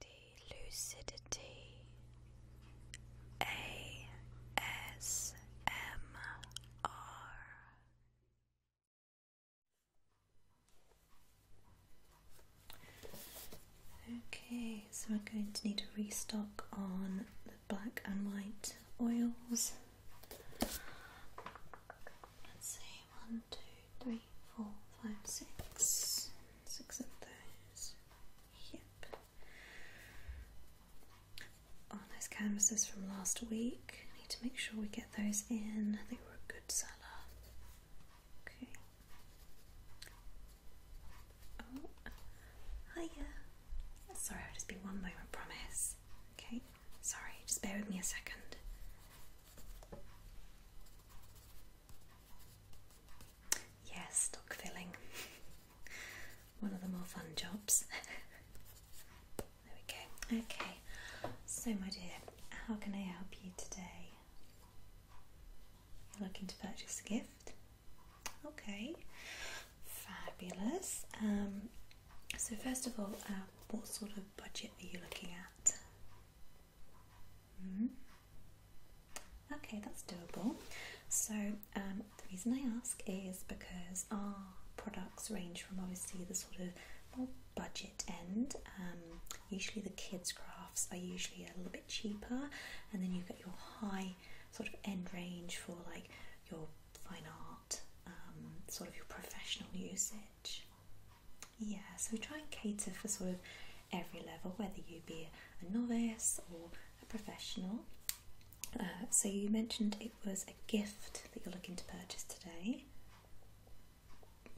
Lady Lucidity ASMR Okay, so I'm going to need to restock on the black and white oils. Let's see one, two, three, four, five, six. Six of those. Yep. On oh, those canvases from last week. Need to make sure we get those in. They were a good seller. Okay. Oh, hiya. Sorry, I'll just be one moment, promise. Okay. Sorry, just bear with me a second. Yeah, stock filling. One of the more fun jobs. there we go. Okay, so my dear, how can I help you today? You're looking to purchase a gift? Okay, fabulous. Um, so, first of all, uh, what sort of budget are you looking at? -hmm. Okay, that's doable. So, um, the reason I ask is because our products range from obviously the sort of more budget end. Um, usually, the kids' crafts are usually a little bit cheaper, and then you've got your high sort of end range for like your fine art, um, sort of your professional uses. Yeah, so try and cater for sort of every level, whether you be a novice or a professional. Uh, so you mentioned it was a gift that you're looking to purchase today.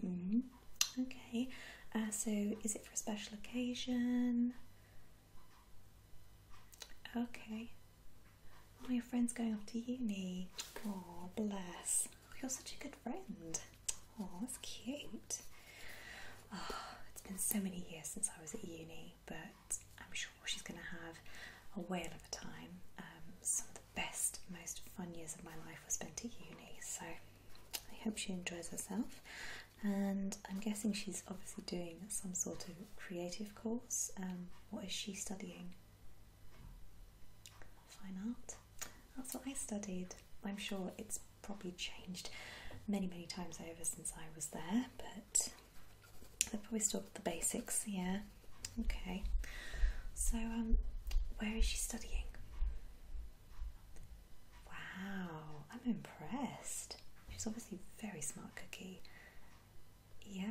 Mm-hmm. okay, uh, so is it for a special occasion? Okay. Oh, your friend's going off to uni. Oh, bless oh, you're such a good friend. Oh, that's cute. Ah, it's been so many years since I was at uni, but I'm sure she's going to have a whale of a time. Um, some of the best, most fun years of my life were spent at uni, so I hope she enjoys herself. And I'm guessing she's obviously doing some sort of creative course. Um, what is she studying? Fine art. That's what I studied. I'm sure it's probably changed many, many times over since I was there, but i have probably still got the basics, yeah. Okay. So, um, where is she studying? Wow, I'm impressed. She's obviously very smart cookie. Yeah.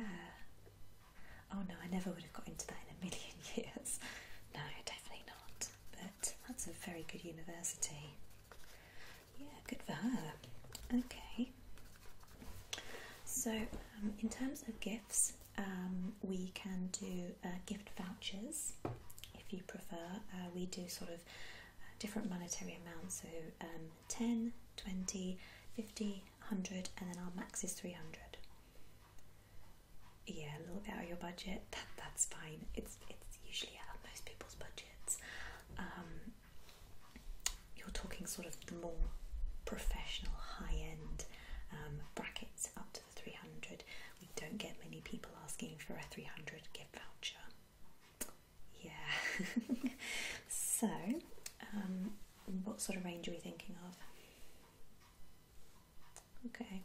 Oh no, I never would have got into that in a million years. No, definitely not. That's a very good university. Yeah, good for her. Okay. So, um, in terms of gifts, um, we can do uh, gift vouchers if you prefer. Uh, we do sort of uh, different monetary amounts, so um, 10, 20, 50, 100, and then our max is 300 yeah, a little bit out of your budget, that's fine. It's it's usually out of most people's budgets. Um, you're talking sort of the more professional, high-end um, brackets up to the 300. We don't get many people asking for a 300 gift voucher. Yeah. so, um, what sort of range are we thinking of? Okay.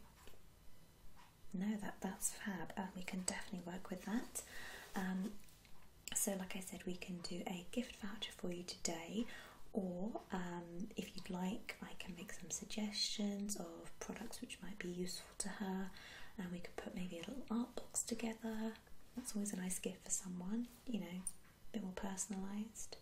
No, that that's fab. Uh, we can definitely work with that. Um, so, like I said, we can do a gift voucher for you today, or um, if you'd like, I can make some suggestions of products which might be useful to her, and we could put maybe a little art box together. That's always a nice gift for someone, you know, a bit more personalised.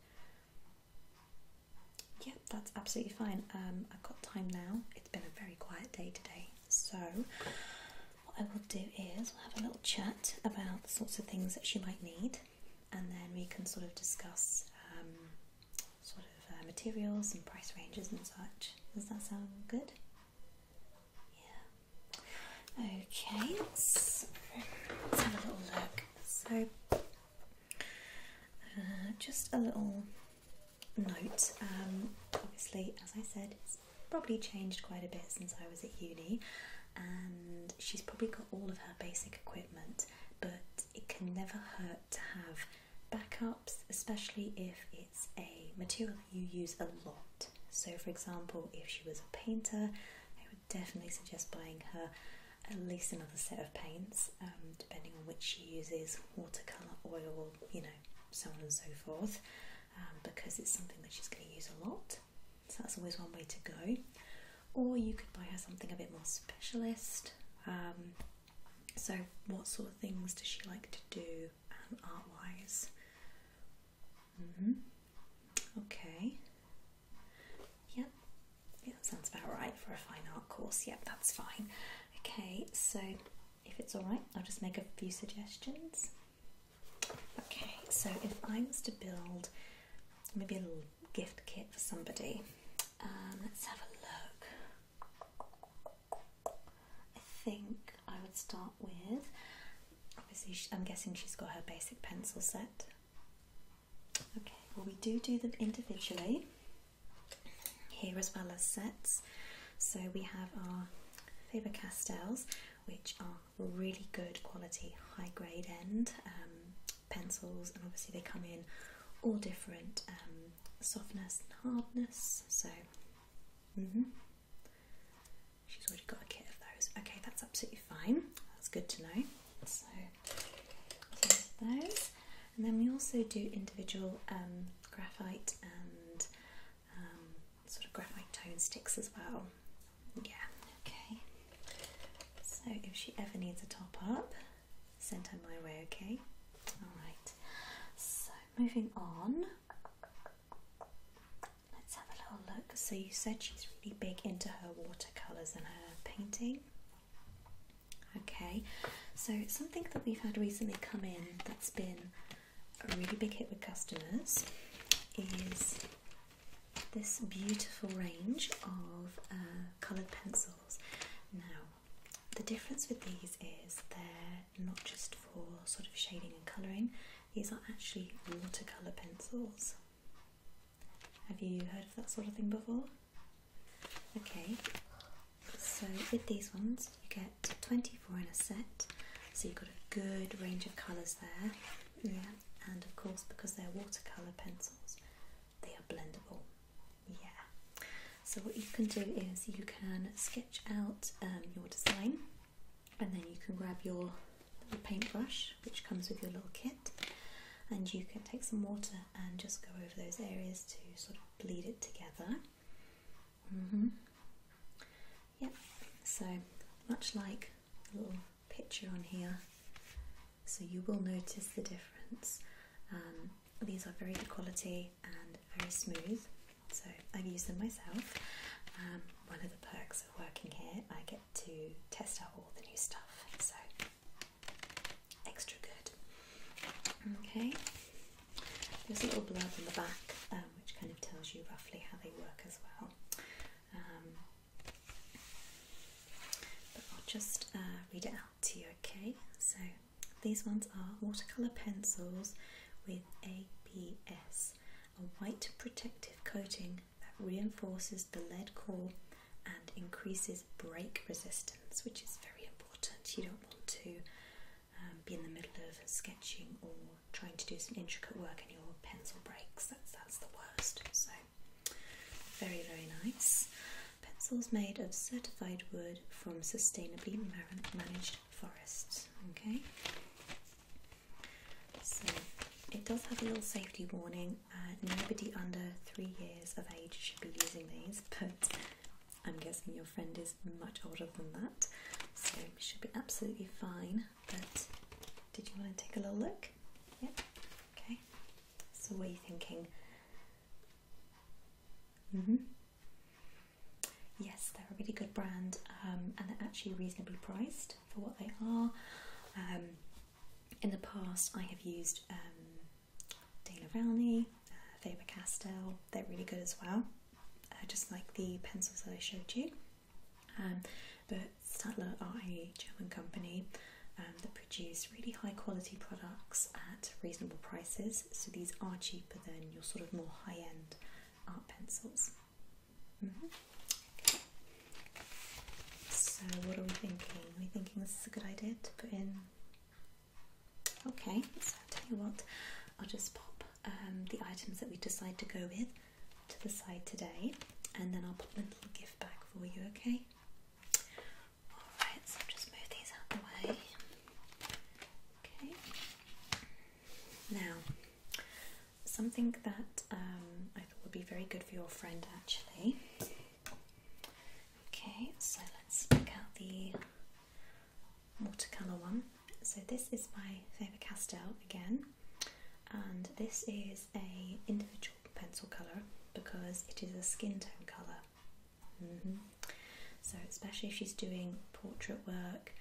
Yeah, that's absolutely fine. Um, I've got time now. It's been a very quiet day today, so what I will do is we'll have a little chat about the sorts of things that you might need, and then we can sort of discuss um, sort of uh, materials and price ranges and such. Does that sound good? Yeah. Okay, let's, let's have a little look. So uh, just a little note. Um, obviously, as I said, it's probably changed quite a bit since I was at uni, and she's probably got all of her basic equipment, but it can never hurt to have backups, especially if it's a material you use a lot. So, for example, if she was a painter, I would definitely suggest buying her at least another set of paints, um, depending on which she uses watercolour, oil, you know, so on and so forth, um, because it's something that she's going to use a lot. So that's always one way to go. Or you could buy her something a bit more specialist. Um, so, what sort of things does she like to do art wise? -hmm. Okay. Yep, yeah, that sounds about right for a fine art course. Yep, that's fine. Okay, so if it's all right, I'll just make a few suggestions. Okay, so if I was to build maybe a little gift kit for somebody, um, let's have a look. I think I would start with obviously, I'm guessing she's got her basic pencil set. Okay, well, we do do them individually here as well as sets. So we have our Faber Castells, which are really good quality, high grade end um, pencils, and obviously they come in all different um, softness and hardness. So, mm-hmm. she's already got a kit of those. Okay, that's absolutely fine. That's good to know those. And then we also do individual um, graphite and um, sort of graphite tone sticks as well. Yeah, okay. So if she ever needs a top up, send her my way, okay? Alright, so moving on. Let's have a little look. So you said she's really big into her watercolours and her painting. Okay, so something that we've had recently come in that's been a really big hit with customers is this beautiful range of uh, coloured pencils. Now, the difference with these is they're not just for sort of shading and colouring, these are actually watercolour pencils. Have you heard of that sort of thing before? Okay, so with these ones, you get 24 in a set, so you've got a good range of colours there. Yeah, and of course, because they're watercolour pencils, they are blendable. Yeah, so what you can do is you can sketch out um, your design and then you can grab your paintbrush, which comes with your little kit, and you can take some water and just go over those areas to sort of bleed it together. Mm-hmm. Yep, so much like a little picture on here, so you will notice the difference. Um, these are very good quality and very smooth, so I've used them myself. Um, one of the perks of working here, I get to test out all the new stuff, so extra good. Okay, there's a little blurb in the back um, which kind of tells you roughly how they work as well. Um, but I'll just uh, read it out to you, okay? So these ones are watercolour pencils with ABS, a white protective coating that reinforces the lead core and increases break resistance, which is very important. You don't want to um, be in the middle of sketching or trying to do some intricate work and your pencil breaks. That's, that's the worst. So, very, very nice. Pencils made of certified wood from sustainably managed forests. Okay. So it does have a little safety warning. Uh, nobody under three years of age should be using these, but I'm guessing your friend is much older than that, so it should be absolutely fine. But did you want to take a little look? Yeah. Okay. So what are you thinking? hmm Yes, they're a really good brand, um, and they're actually reasonably priced for what they are. Um, in the past, I have used um, Dana Rowney, uh, Faber Castell, they're really good as well, uh, just like the pencils that I showed you. Um, but Stadler are a German company um, that produce really high quality products at reasonable prices, so these are cheaper than your sort of more high end art pencils. Mm-hmm. So, what are we thinking? Are we thinking this is a good idea to put in Okay, so I'll tell you what, I'll just pop um, the items that we decide to go with to the side today and then I'll put a little gift bag for you, okay? Alright, so just move these out the way. Okay. Now, something that um, I thought would be very good for your friend actually Okay, so let's pick out the watercolour one. So this is my Faber-Castell again, and this is a individual pencil colour because it is a skin tone colour. Mm-hmm. So especially if she's doing portrait work,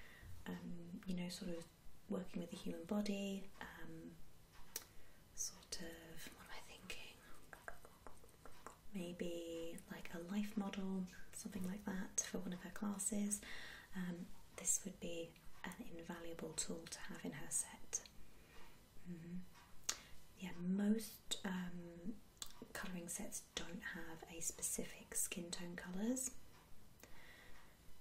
um, you know, sort of working with the human body, um, sort of. What am I thinking? maybe like a life model, something like that, for one of her classes, um, this would be an invaluable tool to have in her set. Mm-hmm. Yeah, most um, colouring sets don't have a specific skin tone colours.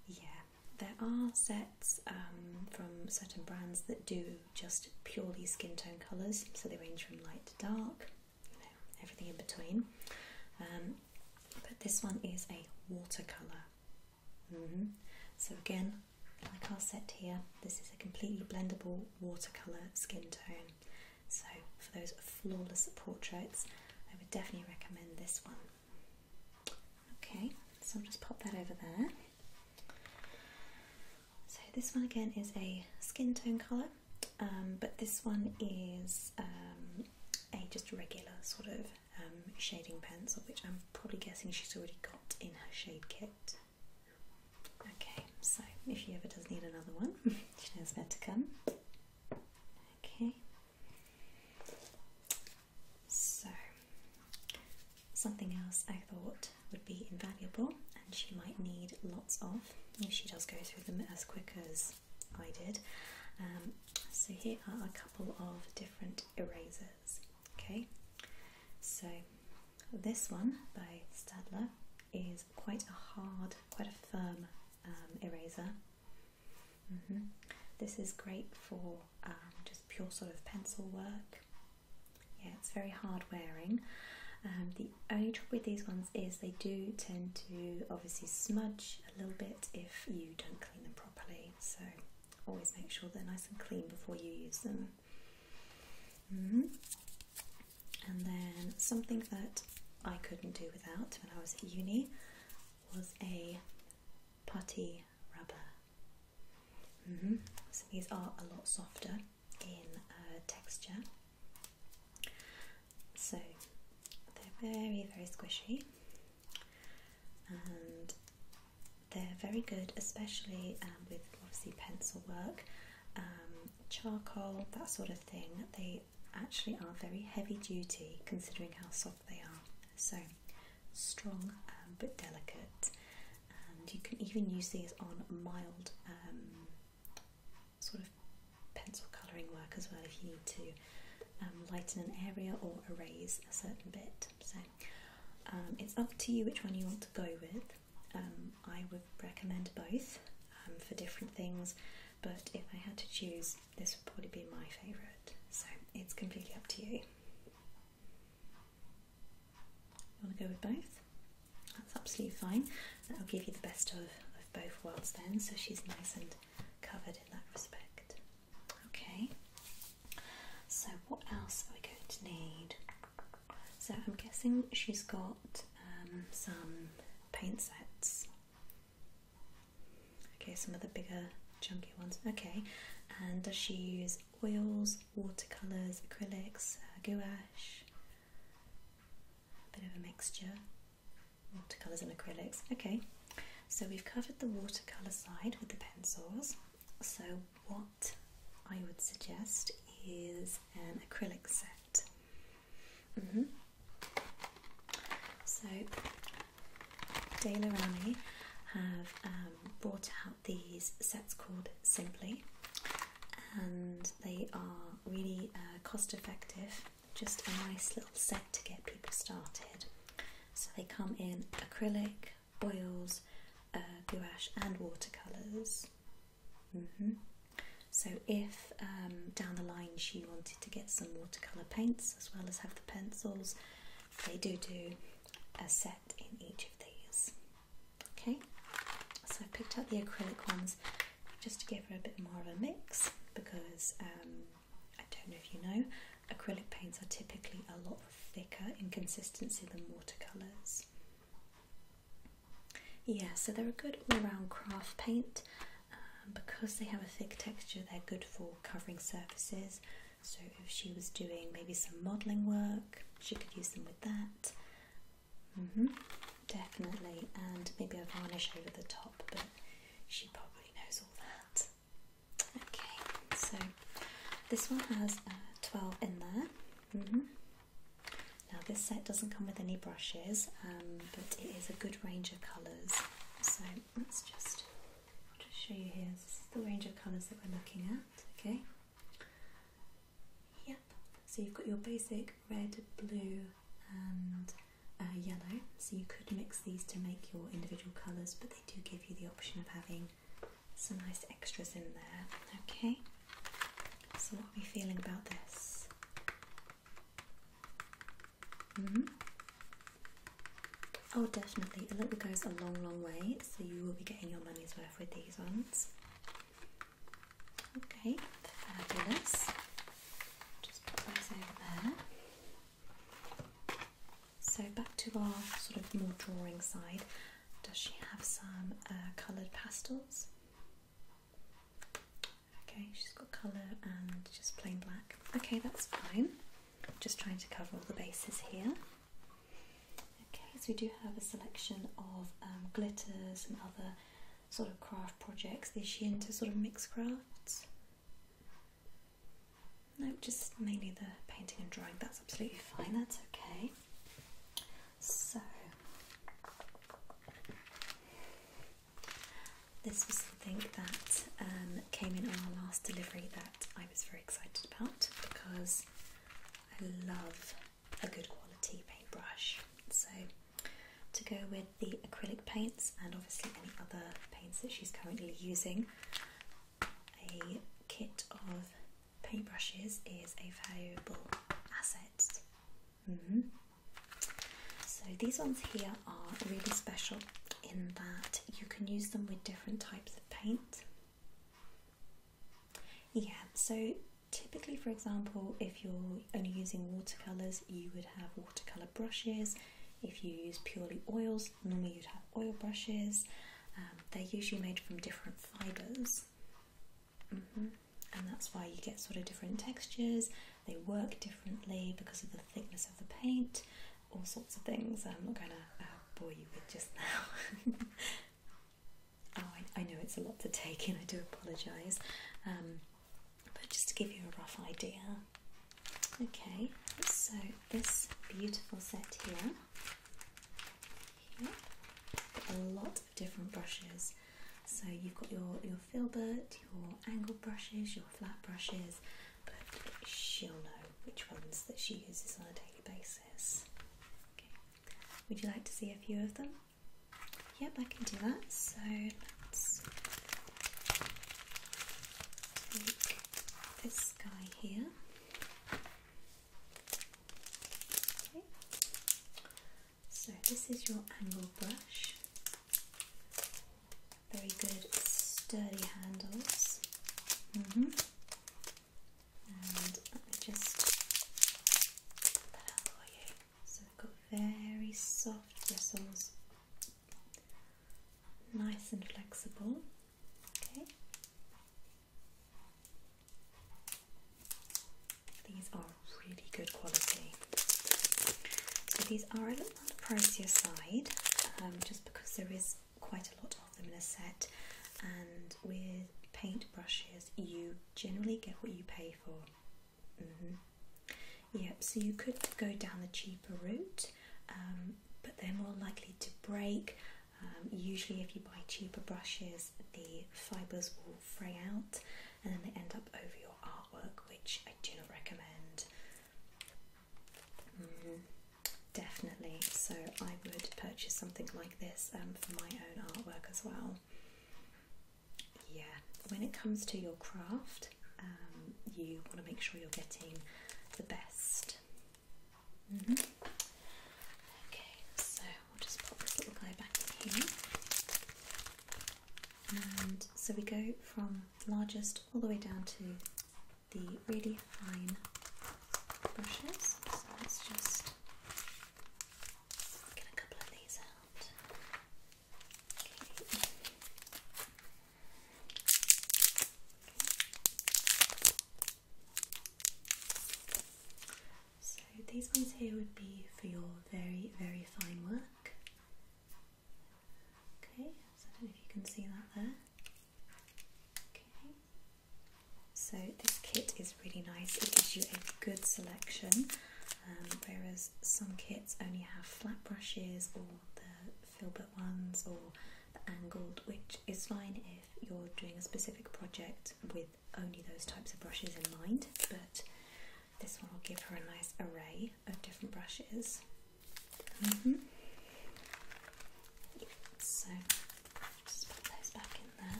Yeah, there are sets um, from certain brands that do just purely skin tone colours, so they range from light to dark, everything in between. Um, but this one is a watercolour. Mm-hmm. So, again, like our set here, this is a completely blendable watercolour skin tone. So, for those flawless portraits, I would definitely recommend this one. Okay, so I'll just pop that over there. So this one again is a skin tone colour, um, but this one is um, a just regular sort of um, shading pencil, which I'm probably guessing she's already got in her shade kit. Okay, so if she ever does need another one, she knows where to come. Okay. So, something else I thought would be invaluable and she might need lots of if she does go through them as quick as I did. Um, so here are a couple of different erasers. Okay, so this one by Stadler is quite a hard, quite a firm um, eraser. Mm-hmm. This is great for um, just pure sort of pencil work. Yeah, it's very hard wearing. Um, the only trouble with these ones is they do tend to obviously smudge a little bit if you don't clean them properly. So always make sure they're nice and clean before you use them. Mm-hmm. And then something that I couldn't do without when I was at uni was a putty rubber. Mm-hmm. So these are a lot softer in uh, texture. So they're very, very squishy and they're very good, especially um, with obviously pencil work, um, charcoal, that sort of thing. They actually are very heavy duty considering how soft they are. So strong um, but delicate, and you can even use these on mild sort of pencil colouring work as well if you need to um, lighten an area or erase a certain bit. So um, it's up to you which one you want to go with. Um, I would recommend both for different things, but if I had to choose, this would probably be my favourite. So it's completely up to you. You want to go with both? That's absolutely fine. That'll give you the best of, both worlds then, so she's nice and covered in that respect. Okay, so what else are we going to need? So I'm guessing she's got um, some paint sets. Okay, some of the bigger, chunky ones. Okay, and does she use oils, watercolours, acrylics, uh, gouache? a bit of a mixture, watercolours and acrylics. Okay, so we've covered the watercolour side with the pencils. So, what I would suggest is an acrylic set. Mm-hmm. So, Dale have um, brought out these sets called Simply and they are really uh, cost effective. Just a nice little set to get people started. So they come in acrylic, oils, uh, gouache, and watercolours. Mm-hmm. So, if um, down the line she wanted to get some watercolour paints as well as have the pencils, they do do a set in each of these. Okay, so I've picked up the acrylic ones just to give her a bit more of a mix because um, I don't know if you know, acrylic paints are typically a lot thicker in consistency than watercolours. Yeah, so they're a good all-round craft paint. Um, because they have a thick texture, they're good for covering surfaces. So if she was doing maybe some modelling work, she could use them with that. Mm-hmm. Definitely, and maybe a varnish over the top, but she probably knows all that. Okay, so this one has uh, 12 in there. Mm-hmm. Now, this set doesn't come with any brushes, um, but it is a good range of colours. So let's just, I'll just show you here. This is the range of colours that we're looking at, okay? Yep, so you've got your basic red, blue, and uh, yellow. So you could mix these to make your individual colours, but they do give you the option of having some nice extras in there. Okay, so what are we feeling about this? Mm-hmm. Oh, definitely. A little goes a long, long way, so you will be getting your money's worth with these ones. Okay, fabulous. Just put those over So back to our sort of more drawing side. Does she have some uh, coloured pastels? Okay, she's got colour and just plain black. Okay, that's fine. Just trying to cover all the bases here. Okay, so we do have a selection of um, glitters and other sort of craft projects. Is she into sort of mixed crafts? No, just mainly the painting and drawing. That's absolutely fine, that's okay. So, this was something that um, came in on our last delivery that I was very excited about because I love a good quality paintbrush. So to go with the acrylic paints and obviously any other paints that she's currently using, a kit of paintbrushes is a valuable asset. Mm-hmm. So these ones here are really special in that you can use them with different types of paint. Yeah, so Typically, for example, if you're only using watercolours, you would have watercolour brushes. If you use purely oils, normally you'd have oil brushes. Um, they're usually made from different fibres, mm-hmm. and that's why you get sort of different textures. They work differently because of the thickness of the paint, all sorts of things. I'm not going to uh, bore you with just now. Oh, I, know it's a lot to take in, I do apologise. Um, but just to give you a rough idea. Okay, so this beautiful set here, yep, a lot of different brushes. So you've got your, your filbert, your angled brushes, your flat brushes, but she'll know which ones that she uses on a daily basis. Okay. Would you like to see a few of them? Yep, I can do that. So let's take this guy here. So this is your angle brush. Very good sturdy handles. -hmm. And let me just so they have got very soft bristles, nice and flexible. Okay. These are really good quality. So these are a little on the pricier side, um, just because there is quite a lot of them in a set, and with paint brushes, you generally get what you pay Mm-hmm. Yep, so you could go down the cheaper route, um, but they're more likely to break. Um, usually, if you buy cheaper brushes, the fibres will fray out and then they end up over your artwork, which I do not recommend. Mm-hmm. definitely, so I would purchase something like this um, for my own artwork as well. Yeah, when it comes to your craft, um, you want to make sure you're getting the best. Mm-hmm. Okay, so we'll just pop this little guy back in here. And so we go from largest all the way down to the really fine brushes. So let's just so these ones here would be for your very, very fine work. Okay, so if you can see that there. Okay. So this kit is really nice. It gives you a good selection, um, whereas some kits only have flat brushes or the filbert ones or the angled, which is fine if you're doing a specific project with only those types of brushes in mind. But this one will give her a nice array of different brushes. Mm-hmm. so just put those back in there.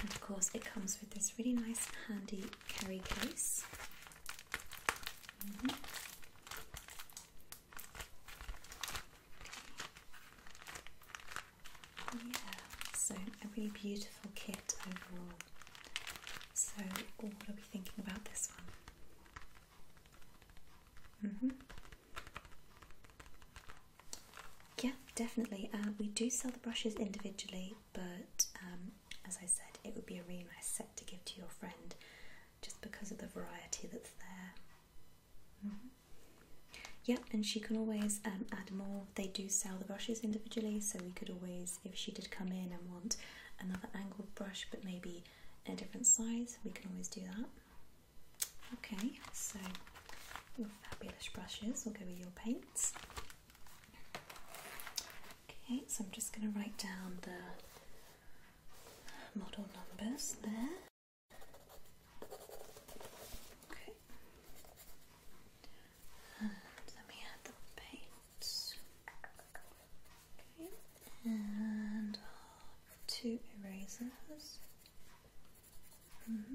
And of course, it comes with this really nice, handy carry case. Mm-hmm. Yeah, so a really beautiful kit overall. So, oh, what are we thinking about this one? Mm -hmm. Yeah, definitely. Uh, we do sell the brushes individually, but um, as I said, it would be a really nice set to give to your friend just because of the variety that's there. Yep, mm-hmm. yeah, and she can always um, add more. They do sell the brushes individually, so we could always, if she did come in and want another angled brush but maybe a different size, we can always do that. Okay, so your fabulous brushes will go with your paints. Okay, so I'm just going to write down the model numbers there. Okay. And let me add the paints. Okay. And two erasers. Mm-hmm.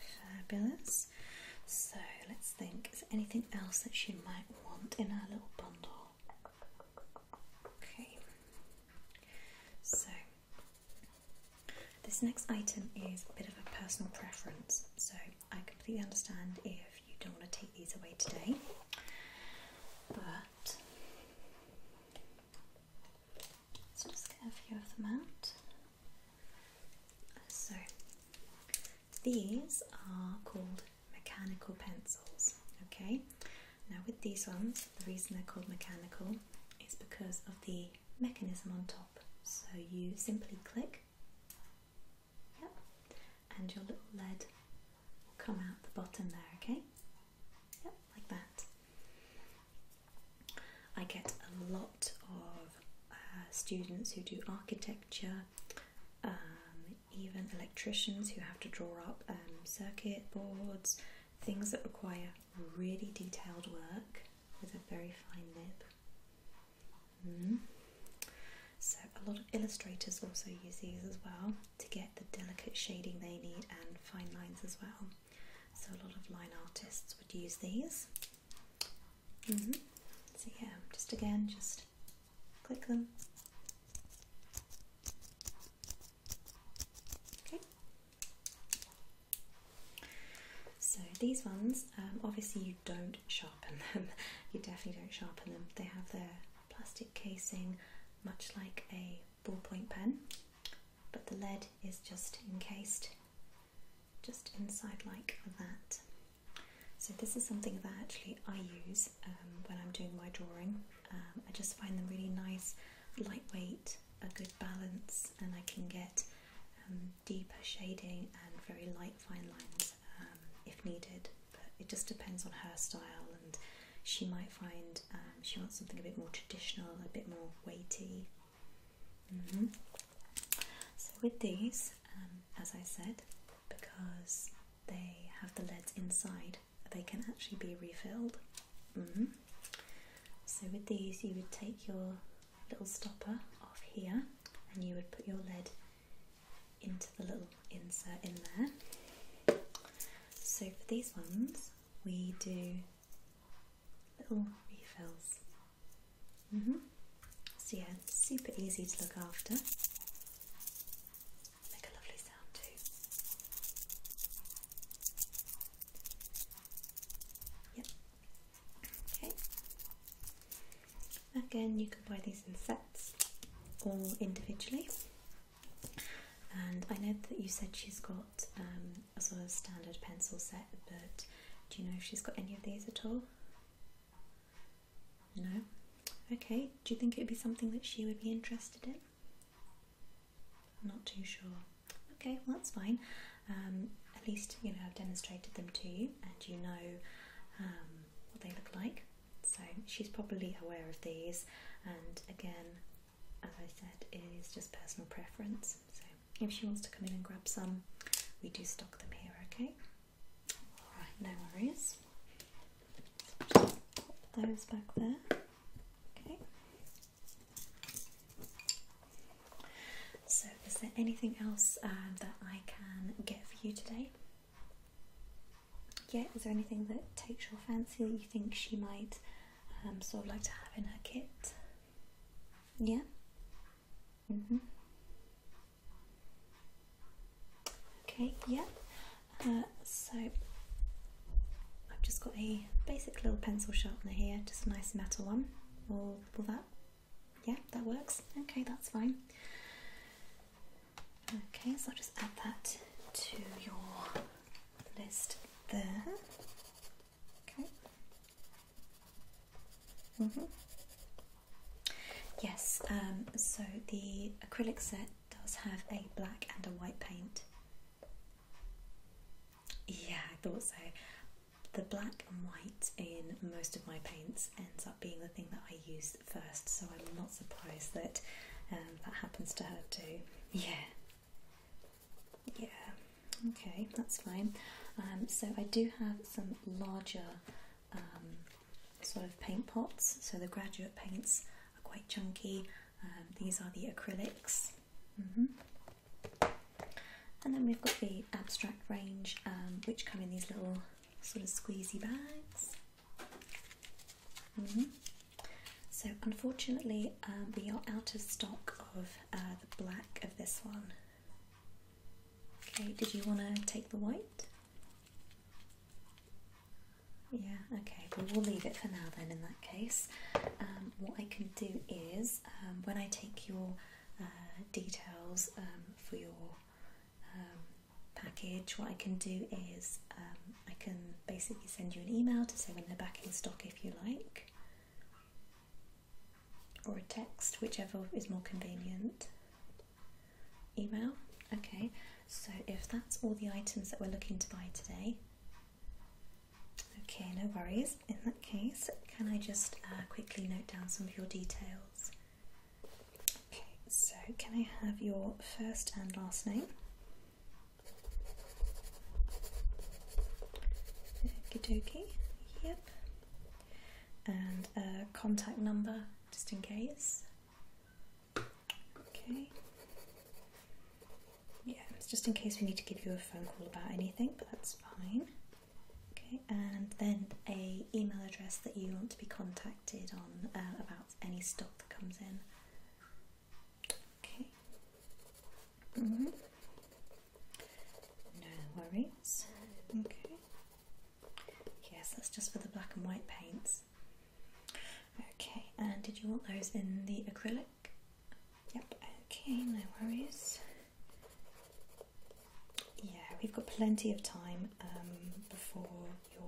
Fabulous. So let's think, is there anything else that she might want in our little bundle? Okay. So this next item is a bit of a personal preference. So I completely understand if you don't want to take these away today. But let's just get a few of them out. So these are called mechanical pencils. Okay, now with these ones, the reason they're called mechanical is because of the mechanism on top. So you simply click, yep, and your little lead will come out the bottom there, okay? like that. I get a lot of uh, students who do architecture, um, even electricians who have to draw up um, circuit boards, things that require really detailed work with a very fine nib. So, a lot of illustrators also use these as well to get the delicate shading they need and fine lines as well. So, a lot of line artists would use these. Mm-hmm. So, yeah, just again, just click them. Okay. So these ones, um, obviously you don't sharpen them. you definitely don't sharpen them. They have their plastic casing much like a ballpoint pen, but the lead is just encased just inside like that. So this is something that actually I use um, when I'm doing my drawing. Um, I just find them really nice, lightweight, a good balance, and I can get um, deeper shading and very light fine lines if needed but it just depends on her style, and she might find um, she wants something a bit more traditional, a bit more weighty. Mm-hmm. So, with these, um, as I said, because they have the leads inside, they can actually be refilled. Mm-hmm. So, with these, you would take your little stopper off here and you would put your lead into the little insert in there. So for these ones, we do little refills. Mm-hmm. So yeah, super easy to look after. Make a lovely sound too. Yep. Okay. Again, you can buy these in sets or individually. And I know that you said she's got um, a sort of standard pencil set, but do you know if she's got any of these at all? No? Okay, do you think it would be something that she would be interested in? I'm not too sure. Okay, well, that's fine. Um, at least, you know, I've demonstrated them to you and you know um, what they look like. So she's probably aware of these, and again, as I said, it is just personal preference. So if she wants to come in and grab some, we do stock them here, okay? Alright, no worries. pop those back there. Okay. So, is there anything else uh, that I can get for you today? yeah, is there anything that takes your fancy that you think she might um, sort of like to have in her kit? Yeah? hmm Okay, yeah. Uh, so I've just got a basic little pencil sharpener here, just a nice metal one. Will, will that, yeah, that works. Okay, that's fine. Okay, so I'll just add that to your list there. Okay. Mm -hmm. Yes, um, so the acrylic set does have a black and a white paint. Yeah, I thought so. The black and white in most of my paints ends up being the thing that I use first, so I'm not surprised that um, that happens to her too. Yeah. Yeah. Okay, that's fine. Um, so I do have some larger um, sort of paint pots. So the graduate paints are quite chunky. these are the acrylics. Mm-hmm. And then we've got the abstract range, which come in these little sort of squeezy bags. Mm-hmm. So, unfortunately, um, we are out of stock of uh, the black of this one. Okay, did you want to take the white? Yeah, okay, well, we'll leave it for now then in that case. Um, what I can do is um, when I take your uh, details for your package, what I can do is um, I can basically send you an email to say when they're back in stock if you like, or a text, whichever is more convenient. Email, okay, so if that's all the items that we're looking to buy today, okay, no worries. In that case, can I just uh, quickly note down some of your details? Okay, so can I have your first and last name? Okie yep. And a contact number just in case. Okay. Yeah, just in case we need to give you a phone call about anything, but that's fine. Okay, and then a email address that you want to be contacted on uh, about any stock that comes in. Okay. Mm -hmm. No worries. Okay. Yes, that's just for the black and white paints. Okay, and did you want those in the acrylic? Yep, okay, no worries. Yeah, we've got plenty of time um, before your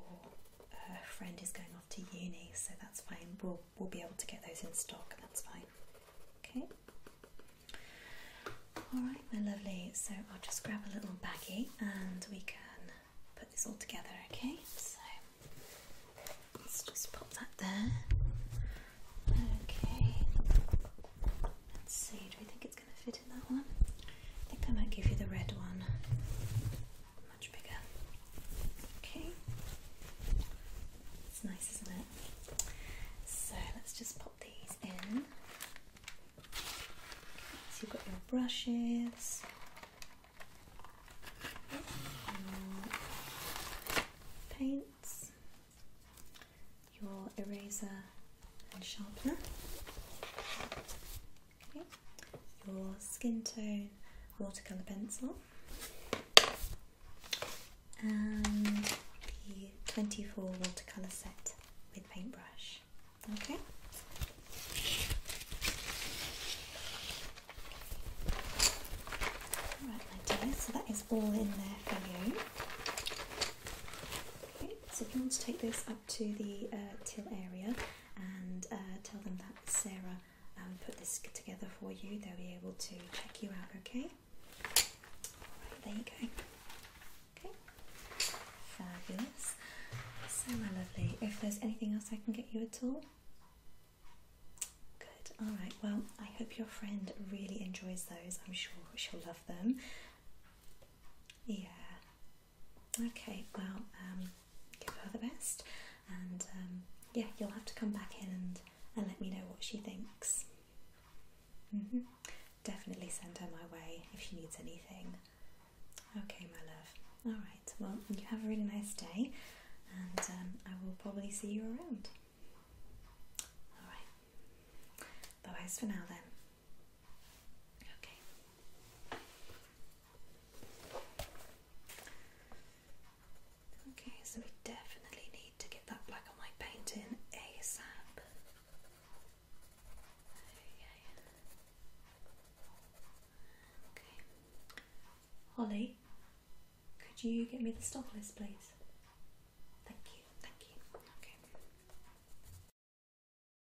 uh, friend is going off to uni, so that's fine. We'll we'll be able to get those in stock. That's fine. Okay. All right, my lovely. So I'll just grab a little baggie and we can put this all together. Okay. So let's just pop that there. Okay. Let's see. Do we think it's going to fit in that one? I think I might give you the red one. Much bigger. Okay. It's nice, isn't it? So let's just pop these in. so you've got your brushes. Your paints, your eraser and sharpener, your skin tone watercolor pencil and the 24 watercolor set with paintbrush. Okay. Right, my dear, so that is all in there for you. Okay, so if you want to take this up to the uh, till area, and uh, tell them that Sarah um, put this together for you, they'll be able to check you out, okay? there you go. Okay, fabulous. So, lovely, if there's anything else I can get you at all, good. Alright, well, I hope your friend really enjoys those. I'm sure she'll love them. Yeah, Okay, well, um, give her the best, and um, yeah, you'll have to come back in and, let me know what she thinks. Mm-hmm. Definitely send her my way if she needs anything. Okay, my love. All right, well, you have a really nice day, and um, I will probably see you around. All right, bye bye for now then. Okay. Okay, so we definitely need to get that black and white paint in ASAP. Holly, could you get me the stock list, please? Thank you, thank you. Okay.